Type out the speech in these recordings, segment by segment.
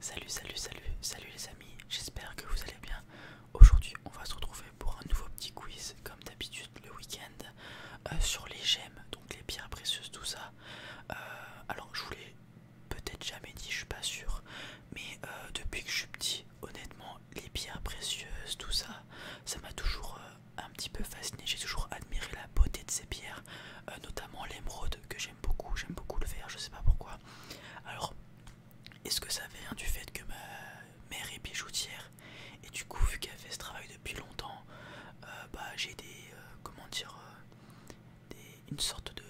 Salut, salut, salut, salut les amis, j'espère que vous allez bien. Aujourd'hui, on va se retrouver pour un nouveau petit quiz, comme d'habitude le week-end, euh, sur les gemmes, donc les pierres précieuses, tout ça. Euh, alors, je vous l'ai peut-être jamais dit, je suis pas sûr, mais euh, depuis que je suis petit, honnêtement, les pierres précieuses, tout ça, ça m'a toujours un petit peu fasciné. J'ai toujours admiré la beauté de ces pierres, notamment l'émeraude que j'ai beaucoup, j'aime beaucoup le faire je sais pas pourquoi. Alors, est-ce que ça vient du fait que ma mère est bijoutière et du coup, vu qu'elle fait ce travail depuis longtemps, euh, bah, j'ai des, euh, comment dire, euh, une sorte de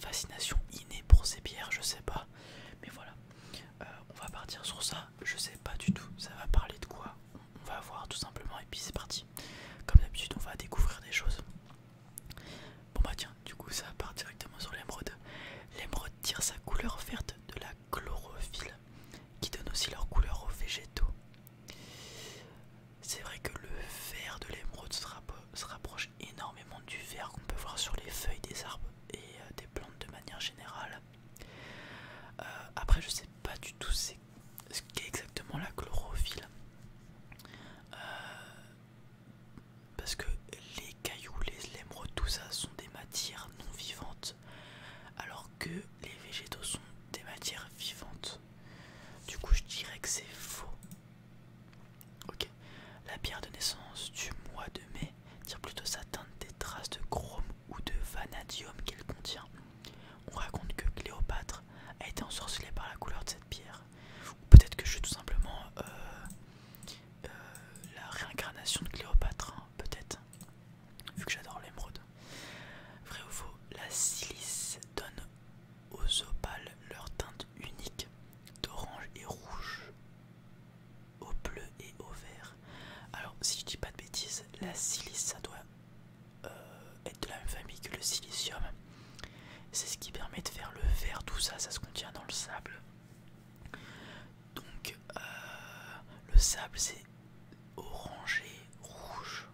fascination innée pour ces bières, je sais pas. Mais voilà, on va partir sur ça, je sais pas du tout, ça va parler de quoi on va voir tout simplement et puis c'est parti. Comme d'habitude, on va découvrir des choses. Bon bah tiens, du coup ça part directement sur l'émeraude. L'émeraude tire sa couleur verte de la chlorophylle, qui donne aussi leur couleur aux végétaux. C'est vrai que le vert de l'émeraude se, rapproche énormément du vert qu'on peut voir sur les feuilles des arbres et euh, des plantes de manière générale. Euh, après je sais pas du tout ce qu'est exactement la chlorophylle. Euh, parce que les cailloux, les émeraudes, tout ça sont des matières non vivantes, alors que les végétaux sont des matières vivantes. Du coup, je dirais que c'est faux. Ok, la pierre de naissance du mois de mai tire plutôt sa teinte des traces de chrome ou de vanadium qu'elle contient. On raconte que Cléopâtre a été ensorcelée par la couleur de cette pierre peut-être que je suis tout simplement euh, euh, la réincarnation de Cléopâtre, hein, peut-être, vu que j'adore l'émeraude. Vrai ou faux, la silice donne aux opales leur teinte unique d'orange et rouge, au bleu et au vert. Alors, si je dis pas de bêtises, la silice ça doit euh, être de la même famille que le silicium. C'est ce qui permet de faire le verre, tout ça, ça se contient dans le sable. Donc euh, le sable c'est orangé, rouge.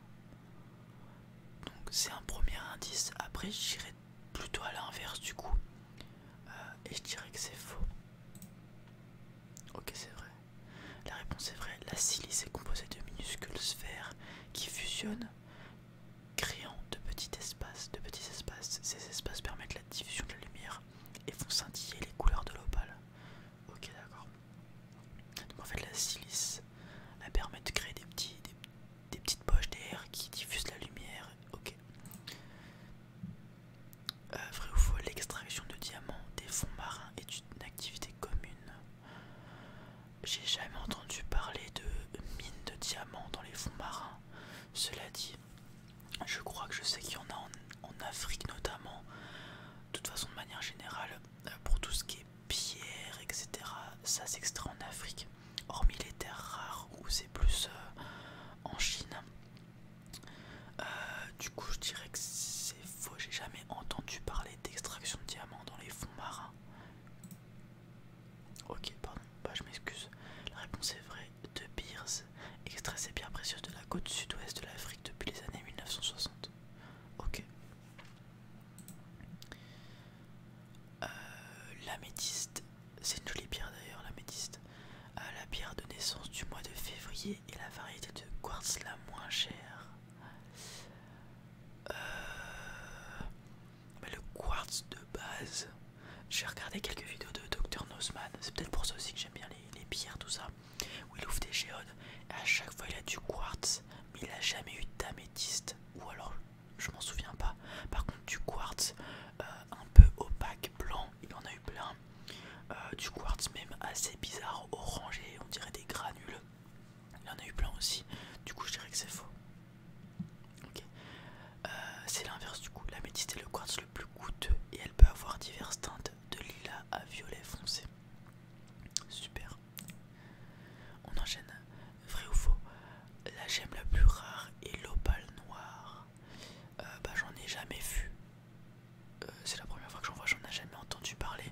Donc c'est un premier indice. Après j'irai plutôt à l'inverse du coup. Euh, et je dirais que c'est faux. Ok c'est vrai. La réponse est vraie. La silice est composée de minuscules sphères qui fusionnent Créant de petits espaces, de petits espaces, ces espaces permettent la diffusion de la lumière et font scintiller les couleurs de l'opale. Ok, d'accord. Donc en fait, la silice, elle permet de créer des, petites poches d'air qui diffusent la lumière. Ok. Euh, vrai ou faux, l'extraction de diamants des fonds marins est une activité commune j'ai jamais entendu parler de mines de diamants dans les fonds marins. Cela dit, je crois que je sais qu'il y en a en, Afrique notamment. De toute façon, de manière générale, euh, pour tout ce qui est pierre, etc., ça s'extrait en Afrique, hormis les terres rares où c'est plus euh, en Chine. Euh, du coup, je dirais que c'est faux. J'ai jamais entendu parler d'extraction de diamants dans les fonds marins. Ok, pardon, bah, je m'excuse. La réponse est vraie. De Beers, extrait ces pierres précieuses de la côte sud-ouest de l'Afrique depuis les années 1960. Ok. Euh, l'améthyste, c'est une jolie pierre d'ailleurs, l'améthyste. a euh, la pierre de naissance du mois de février et la variété de quartz la moins chère. Euh, le quartz de base. J'ai regardé quelques vidéos de Dr Nosman. C'est peut-être pour ça aussi que j'aime bien les, pierres, tout ça. Où il ouvre des géodes. à chaque fois, il a du quartz. Mais il n'a jamais eu d'améthyste. Ou alors, je m'en souviens pas. Par contre, du quartz euh, un peu opaque, blanc. Il en a eu plein. Euh, du quartz même assez bizarre, orangé. On dirait des granules. Il en a eu plein aussi. Du coup, je dirais que c'est faux. Euh, c'est l'inverse du coup. La médite est le quartz le plus coûteux et elle peut avoir diverses teintes de lilas à violet foncé. Super. On enchaîne. Vrai ou faux La gemme la plus rare est l'opale noire. Euh, bah j'en ai jamais vu. Euh, c'est la première fois que j'en vois, j'en ai jamais entendu parler.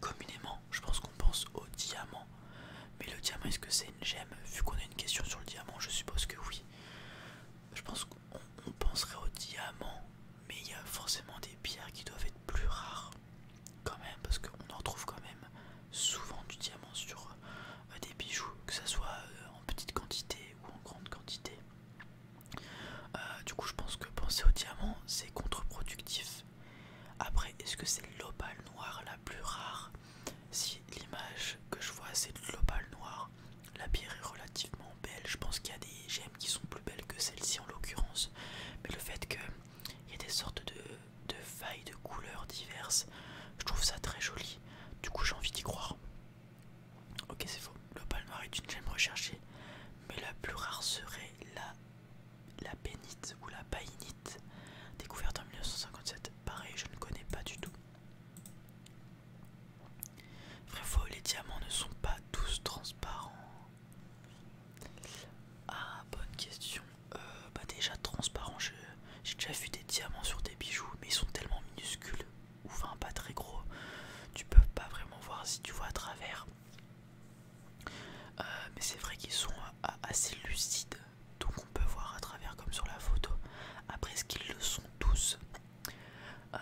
Communément, je pense qu'on pense au diamant. Mais le diamant, est-ce que c'est une gemme Vu qu'on a une question sur le diamant, je suppose que oui. Je pense qu'on penserait au diamant, mais il y a forcément des pierres qui doivent être plus rares quand même, parce qu'on en trouve quand même souvent du diamant sur euh, des bijoux, que ce soit euh, en petite quantité ou en grande quantité. Euh, du coup, je pense que penser au diamant, c'est contre-productif. Après, est-ce que c'est l'opale noire la plus rare Si l'image que je vois c'est de l'opale noire, la pierre est relativement belle. Je pense qu'il y a des gemmes qui sont plus belles que celle-ci en l'occurrence. Mais le fait qu'il y ait des sortes de, de failles de couleurs diverses, je trouve ça très joli. Du coup, j'ai envie d'y croire. Ok, c'est faux. L'opale noire est une gemme recherchée, mais la plus rare serait la la bénite ou la païnite, découverte en 1957. Pareil, je ne connais pas du tout. Vrai les diamants ne sont pas tous transparents. Ah, bonne question. Euh, bah déjà transparent, j'ai déjà vu des diamants sur des bijoux, mais ils sont tellement minuscules, ou enfin pas très gros, tu peux pas vraiment voir si tu vois à travers. Euh, mais c'est vrai qu'ils sont euh, assez lucides, donc on peut voir à travers comme sur la photo. Après, ce qu'ils le sont tous. Euh,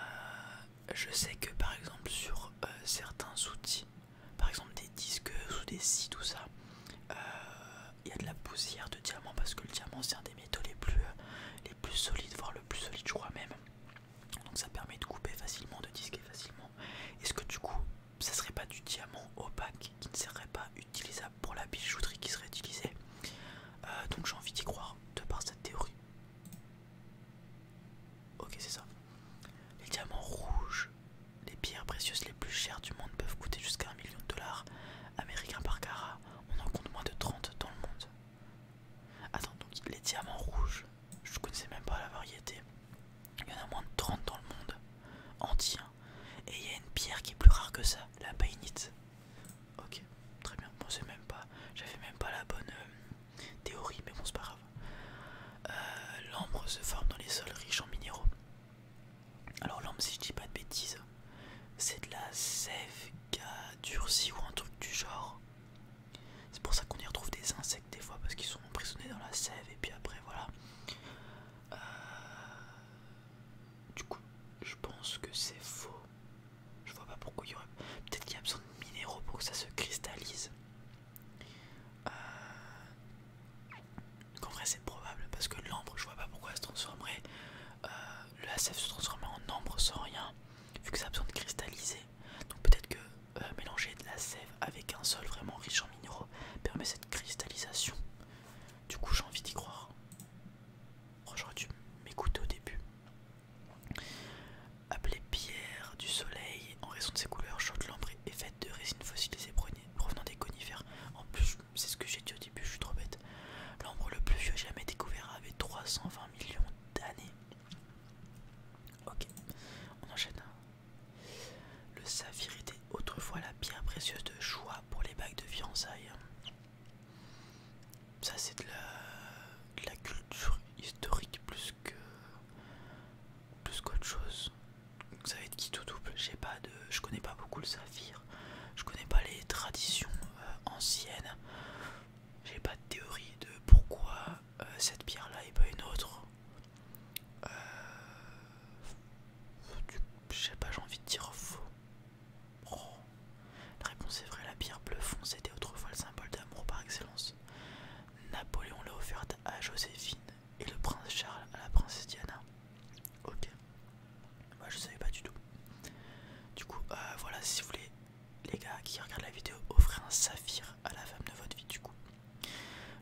je sais que par exemple sur certains outils, par exemple des disques ou des scies, tout ça, il y a de la poussière de diamant parce que le diamant c'est un des métaux les plus, les plus solides, voire le plus solide je crois même. Donc ça permet de couper facilement, de disquer facilement. Est-ce que du coup, ça serait pas du diamant opaque qui ne serait pas utilisable pour la bijouterie qui serait utilisée euh, Donc j'ai envie d'y croire de par cette théorie. Ok, c'est ça. Les diamants rouges, les pierres précieuses les plus chères du monde peuvent coûter jusqu'à un million de dollars américains par carat. On en compte moins de 30 dans le monde. Attends, donc les diamants rouges, je connaissais même pas la variété. Il y en a moins de 30 dans le monde entier. Et il y a une pierre qui est plus rare que ça, la païnite. Ok, très bien. Bon, c'est même pas. J'avais même pas la bonne euh, théorie, mais bon, c'est pas grave. Euh, l'ambre se forme dans les sols riches en minéraux. Alors, l'ambre, si je dis pas de bêtises, c'est de la sève durcie ou un truc du genre. C'est pour ça qu'on y retrouve des insectes des fois parce qu'ils sont emprisonnés dans la sève et puis après voilà. Euh, du coup, je pense que c'est faux. Je vois pas pourquoi il y aurait. Peut-être qu'il y a besoin de minéraux pour que ça se cristallise. Euh, en vrai, c'est probable parce que l'ambre, je vois pas pourquoi elle se transformerait. Le euh, la sève se transformerait en ambre sans rien, vu que ça a besoin de cristalliser. Donc peut-être que euh, mélanger de la sève avec un sol vraiment riche en minéraux permet cette cristallisation. Du coup j'ai envie d'y croire. Oh, j'aurais dû m'écouter au début. Appelée pierre du soleil, en raison de ses couleurs chaudes, l'ambre est faite de résine fossilisée provenant des conifères. En plus, c'est ce que j'ai dit au début, je suis trop bête. L'ambre le plus vieux jamais découvert avait 320 millions d'années. Ok, on enchaîne. Le saphir était autrefois la pierre précieuse de choix pour les bagues de fiançailles. Ça, c'est de la, culture historique plus que plus qu'autre chose. Ça va être qui tout double. J'ai pas de, je connais pas beaucoup le saphir. Je connais pas les traditions euh, anciennes. J'ai pas de théorie de pourquoi euh, cette pierre là et pas une autre J'ai euh, Je sais pas, j'ai envie de dire faux. Oh. La réponse est vraie, la pierre bleu foncé était autrefois le symbole d'amour par excellence. Napoléon l'a offerte à Joséphine et le prince Charles à la princesse Diana. Ok, moi bah, je savais pas du tout. Du coup, euh, voilà, si vous voulez, les gars qui regardent la vidéo, offrez un saphir à la femme de votre vie du coup.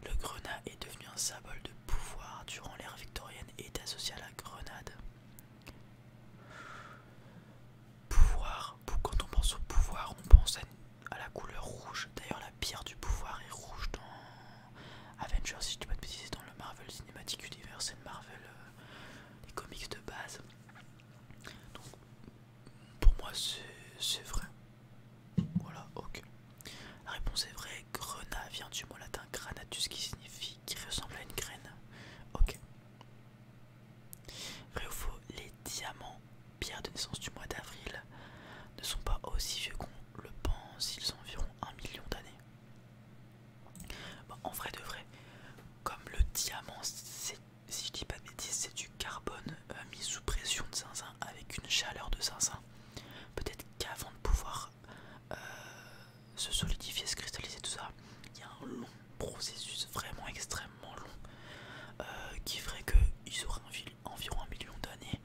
Le grenat est devenu un symbole de pouvoir durant l'ère victorienne et est associé à la grenade. Pouvoir, quand on pense au pouvoir, on pense à la couleur rouge. D'ailleurs, la pierre du pouvoir est rouge dans Avengers, si je dis pas de dans le Marvel Cinematic Universe et Marvel, euh, comics de base. Donc, pour moi, c'est vrai. Voilà, ok. La réponse est vraie. Grenat vient du mot latin granatus qui signifie qui ressemble à une graine. Ok. Vrai ou faux, les diamants, pierres de naissance du mois d'avril, ne sont pas aussi vieux qu'on le pense. Ils ont environ un million d'années. en vrai de vrai, comme le diamant, c'est si je dis pas de bêtises, c'est du carbone euh, mis sous pression de zinzin avec une chaleur de zinzin. Peut-être qu'avant de pouvoir euh, se solidifier, se cristalliser, tout ça, il y a un long processus vraiment extrêmement long euh, qui ferait qu'ils auraient environ un million d'années.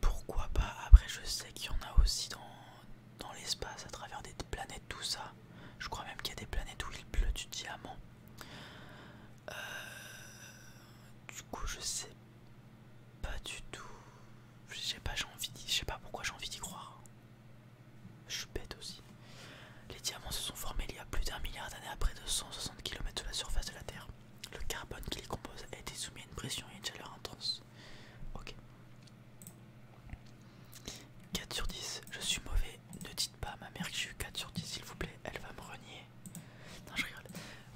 Pourquoi pas Après, je sais qu'il y en a aussi dans, dans l'espace, à travers des planètes, tout ça. Je crois même qu'il y a des planètes où il pleut du diamant. Euh, du coup, je sais pas du tout. Je pas, j'ai envie Je sais pas pourquoi j'ai envie d'y croire. Je suis bête aussi. Les diamants se sont formés il y a plus d'un milliard d'années à près de 160 km de la surface de la Terre. Le carbone qui les compose a été soumis à une pression et une chaleur intense. Ok. 4 sur 10. Je suis mauvais ne dites pas à ma mère que j'ai eu 4 sur 10, s'il vous plaît, elle va me renier. Non, je rigole.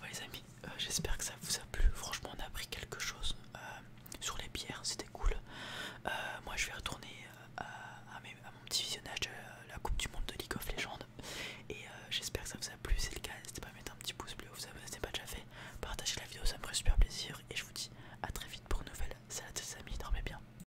Ouais, les amis, euh, j'espère que ça vous a plu. Franchement, on a appris quelque chose euh, sur les bières, c'était cool. Euh, moi, je vais retourner à, mon petit visionnage de la Coupe du Monde de League of Legends. Et j'espère que ça vous a plu. Si c'est le cas, n'hésitez pas à mettre un petit pouce bleu, vous ce n'est pas déjà fait. Partagez la vidéo, ça me ferait super plaisir. Et je vous dis à très vite pour une nouvelle salut les amis. Dormez bien.